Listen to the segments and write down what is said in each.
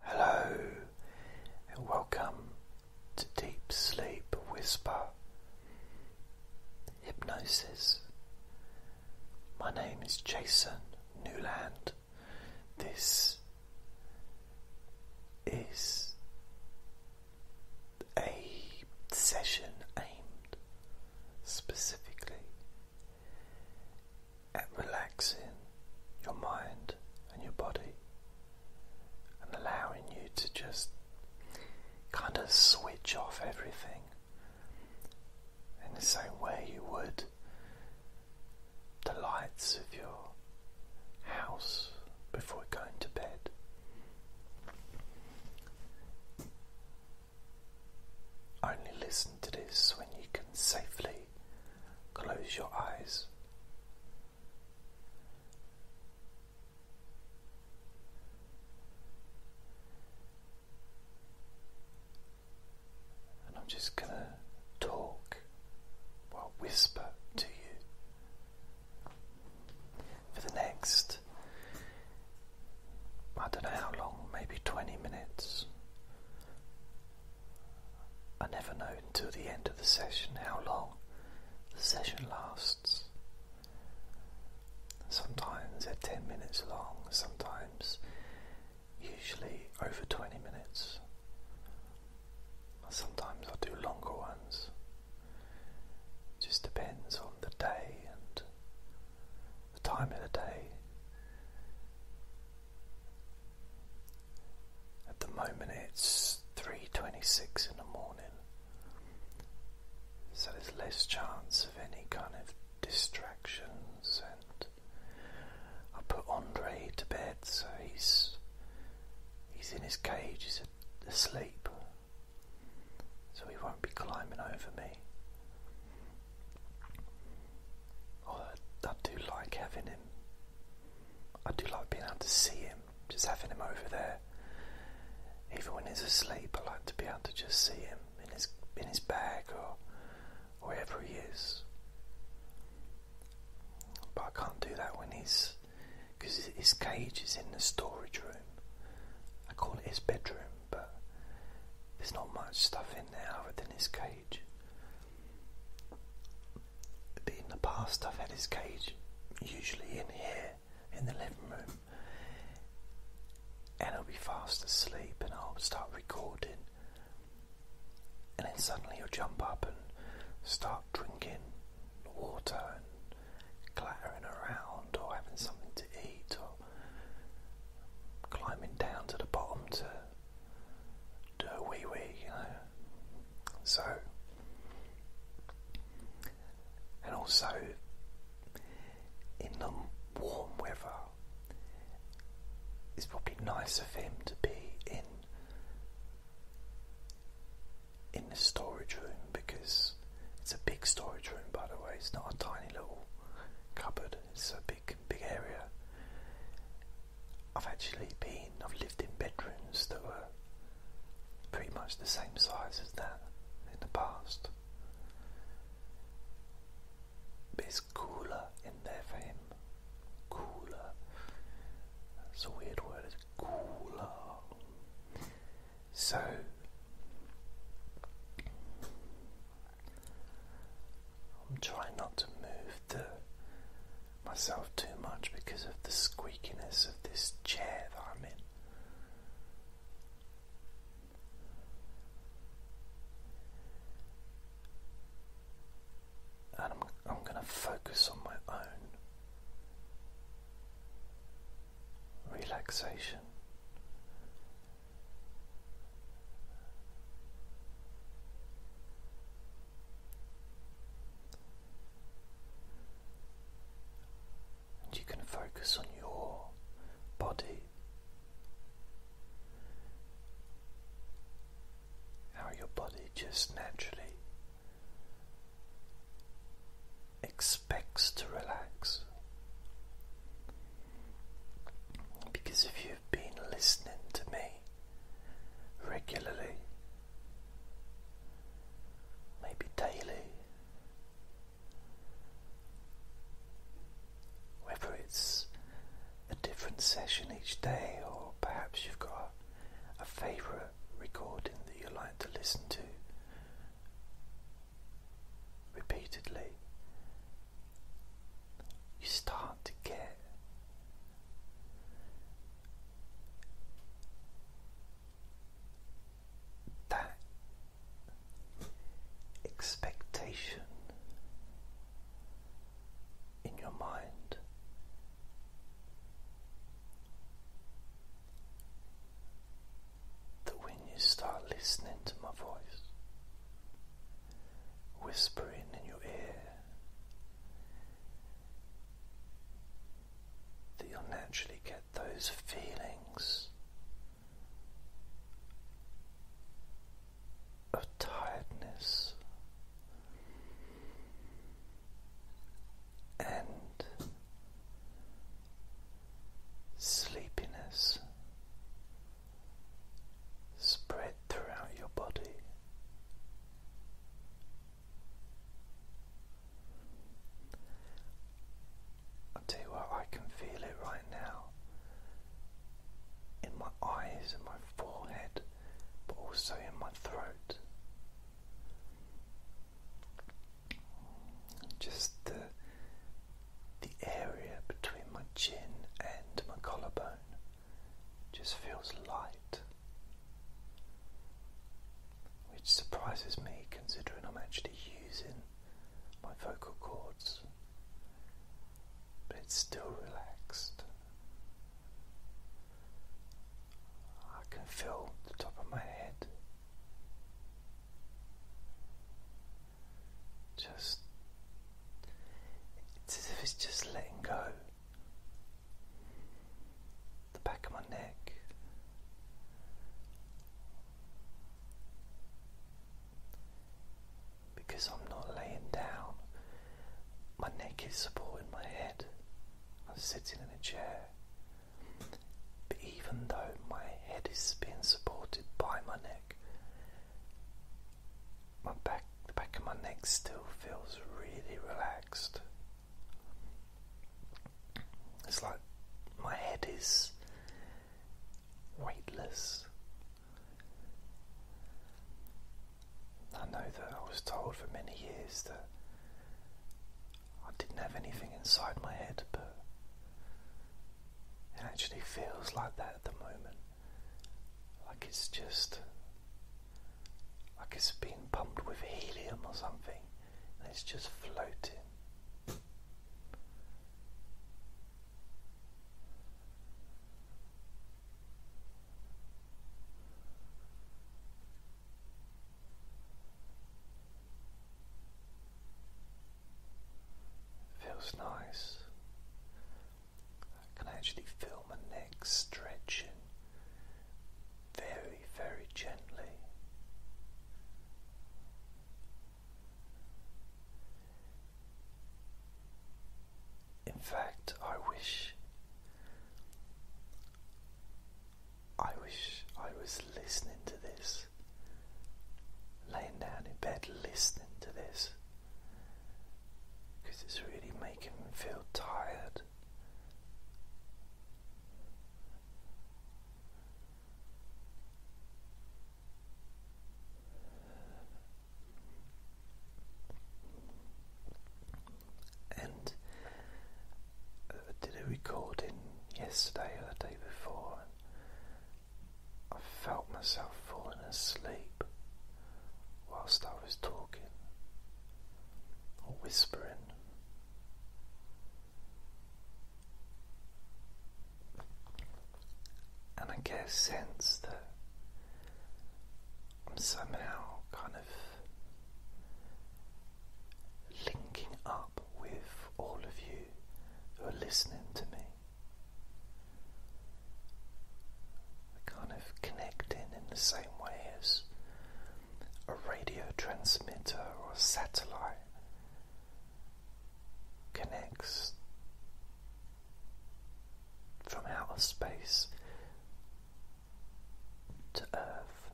Hello, and welcome to Deep Sleep Whisper Hypnosis. My name is Jason Newland. This is a session aimed specifically at relaxing your mind and your body and allowing you to just kind of switch off everything in the same way you would the lights of your house before going to bed. Only listen to this when you can safely Close your eyes. And I'm just going to talk or whisper to you for the next, I don't know how long, maybe 20 minutes. I never know until the end of the session how long the session lasts. Sometimes they're 10 minutes long, sometimes usually over 20 minutes. Sometimes I do longer ones. It just depends on the day and the time of the day at the moment it's 3:26 in the morning. So there's less chance of any kind of distractions and I put Andre to bed so he's he's in his cage, he's asleep. So he won't be climbing over me. Oh, I, I do like having him. I do like being able to see him, just having him over there. Even when he's asleep, I like to be able to just see him in his in his bag or wherever he is. But I can't do that when he's because his cage is in the storage room. I call it his bedroom, but there's not much stuff in there other than his cage. In the past, I've had his cage usually in here in the living room, and I'll be fast asleep, and I'll start recording, and then suddenly he'll jump up and start drinking water and clattering around, or having something to eat, or climbing down to the bottom to do a wee wee, you know. So, and also in the warm weather, it's probably nice of him to be in in the storage room because it's a big storage room, by the way. It's not a tiny little cupboard. It's a big big, area. I've actually been, I've lived in bedrooms that were pretty much the same size as that in the past. it's cooler in there for him. Cooler. That's a weird word, it's cooler. So I'm trying not to move the myself too much because of the squeakiness of this chair I'm in. And I'm, I'm going to focus on my own relaxation and you can focus on your body, how your body just naturally expects to relax. Because if you've been listening to me regularly, maybe daily, whether it's a different session each day, or perhaps you've got a, favourite recording that you like to listen to repeatedly, you start to get that expectation in your mind that when you start listening to my voice, whispering in your ear, that you'll naturally get those feelings of tiredness and sleepiness spread throughout your body. i tell you what, I can feel it right now in my eyes and my forehead, but also in my throat just the the area between my chin and my collarbone just feels light, which surprises me considering I'm actually using my vocal cords, but it's still relaxed. I can feel the top of my head just it's as if it's just letting go. The back of my neck. Because I'm not laying down, my neck is supporting my head. I'm sitting in a chair, even though my head is being supported by my neck, my back the back of my neck still feels really relaxed. It's like my head is weightless. I know that I was told for many years that I didn't have anything inside my head, but it actually feels like that at the moment. Like it's just like it's being pumped with helium or something, and it's just floating. Feels nice. I can actually feel my neck stretching very, very gently. In fact, I wish I wish I was listening to this, laying down in bed listening to this, because it's really making me feel tired. And uh, did a recording yesterday or the day before, I felt myself falling asleep whilst I was talking or whispering. And I get a sense that I'm somehow kind of linking up with all of you who are listening to me. kind of connecting in the same way as a radio transmitter or satellite connects from outer space to Earth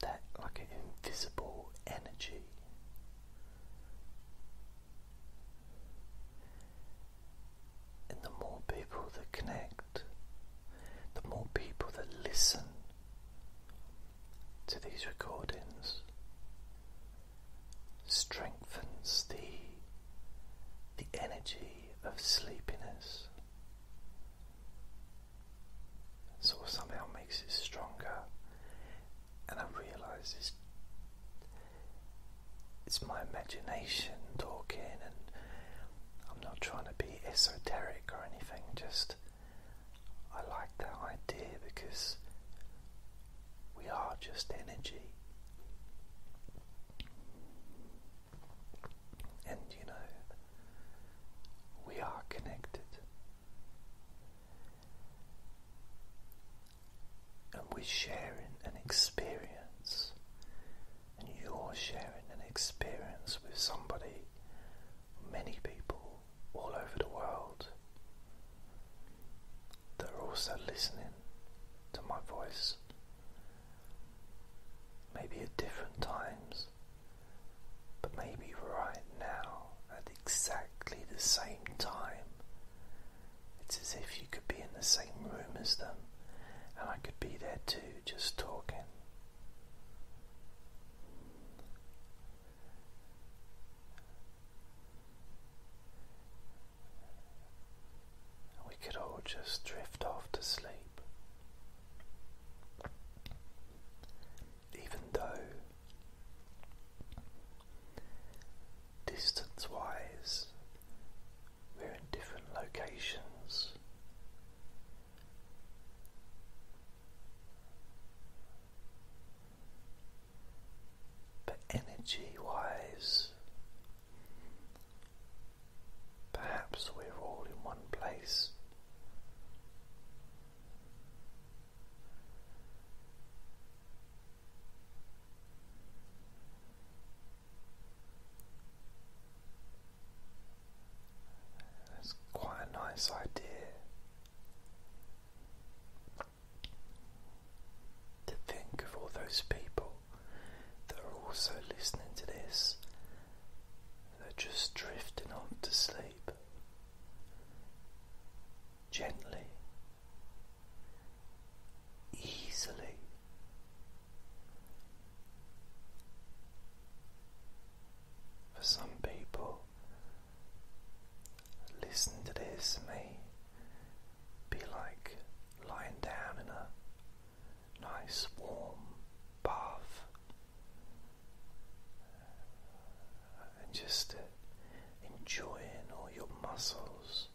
that like an invisible energy. And the more people that connect, the more people that listen to these recordings strengthens the the energy of sleepiness so of somehow makes it stronger. And I realise it's, it's my imagination talking, and I'm not trying to be esoteric or anything, just I like that idea because we are just energy. And you know, we are connected. And we're sharing an experience, and you're sharing an experience with somebody, many people all over the world that are also listening to my voice maybe at different times, but maybe right now at exactly the same time. It's as if you could be in the same room as them, and I could be there too, just talking we could all just drift off to sleep. Even though distance wise we're in different locations. But energy wise, Perhaps we're all in one place. That's quite a nice idea to think of all those people they are also listening to this, they're just drifting off to sleep gently, easily. For some people, listening to this may be like lying down in a nice warm bath and just uh, enjoying all your muscles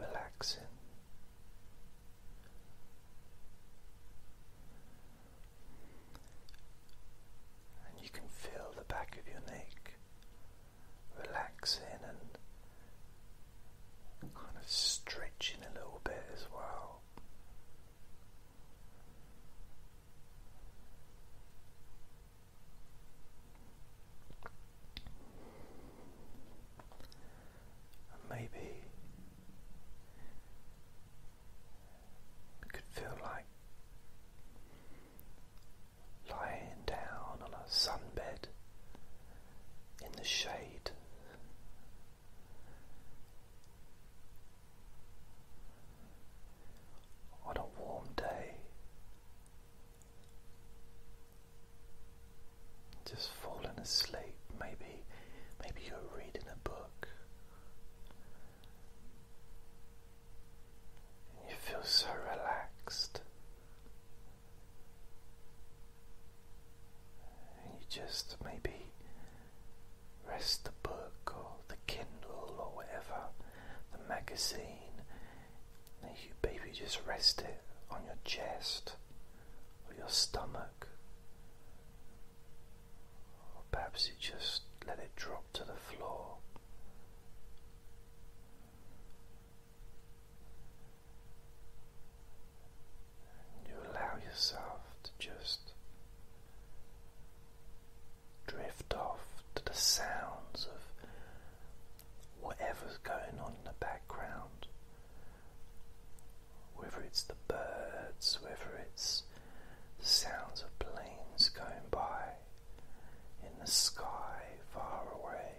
relaxing. And you can feel the back of your neck relaxing and kind of stretching a little bit as well. maybe it could feel like lying down on a sunbed in the shade. On a warm day, just falling asleep. Maybe, maybe you're reading a book, and you feel so relaxed. And you just maybe rest the book or the Kindle or whatever, the magazine. And you maybe just rest it on your chest or your stomach. Or perhaps you just let it drop to the floor you allow yourself to just drift off to the sounds of whatever's going on in the background. Whether it's the birds, whether it's the sounds of planes going by in the sky far away,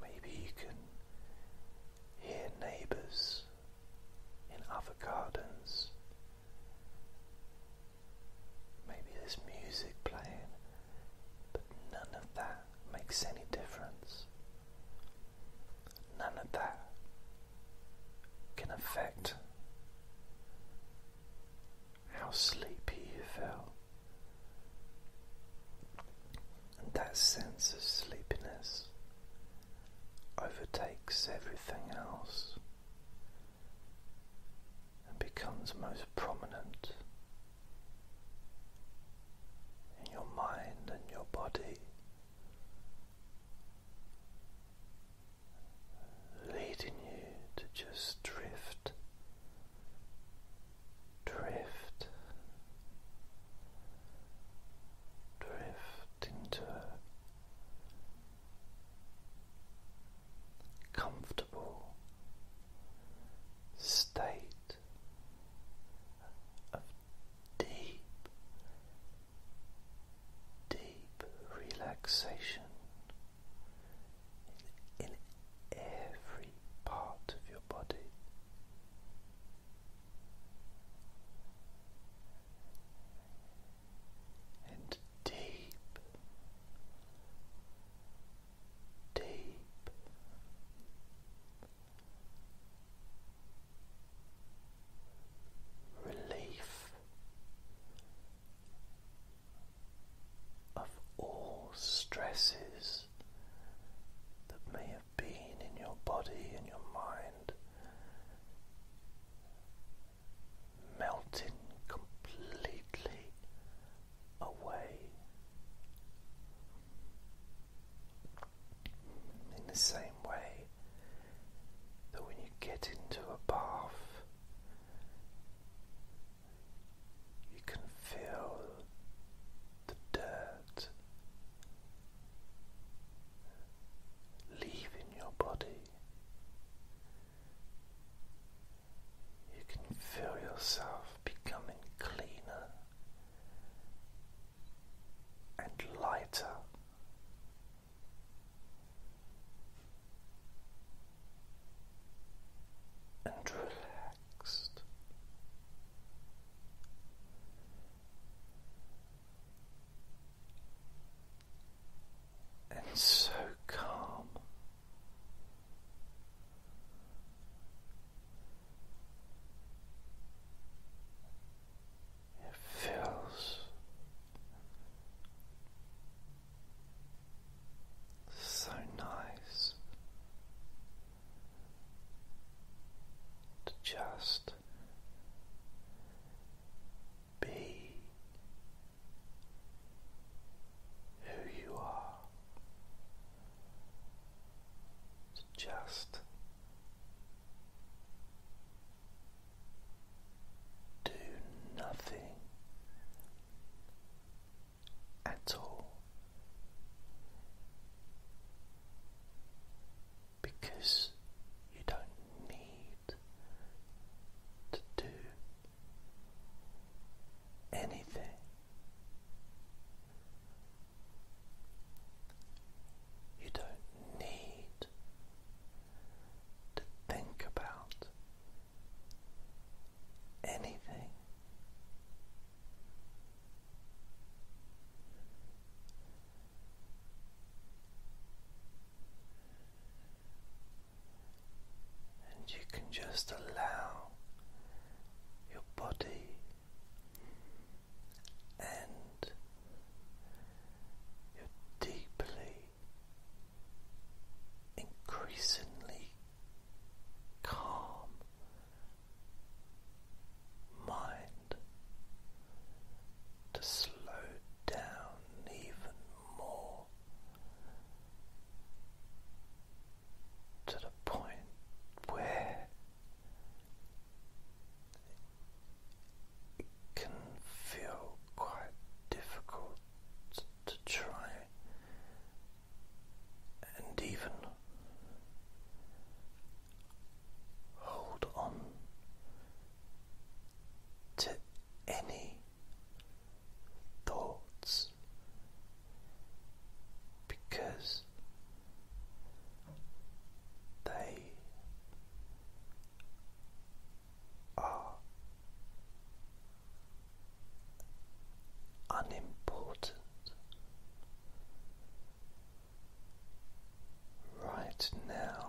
Maybe you can hear neighbours in other gardens. Maybe there's music playing, but none of that makes any difference. None of that can affect how sleepy you feel. And that sense of sleepiness overtakes everything else and becomes most prominent in your mind and your body. Leading you to just drift drift, drift into a comfortable state of deep, deep relaxation in every part of your body. And deep, deep relief of all stresses that may have been in your body and your mind melting completely away. In the same way that when you get into a bath, you can feel the dirt leaving your body. You can feel yourself becoming cleaner and lighter and relaxed. And so calm, it feels so nice to just be who you are, to just do nothing at all because you don't need to do anything. You don't need to think about anything. And you can just allow your body and your deeply increasingly calm mind to slow down even more to the point where it can feel quite difficult to try and even hold on to any thoughts because they are unimportant. Right now,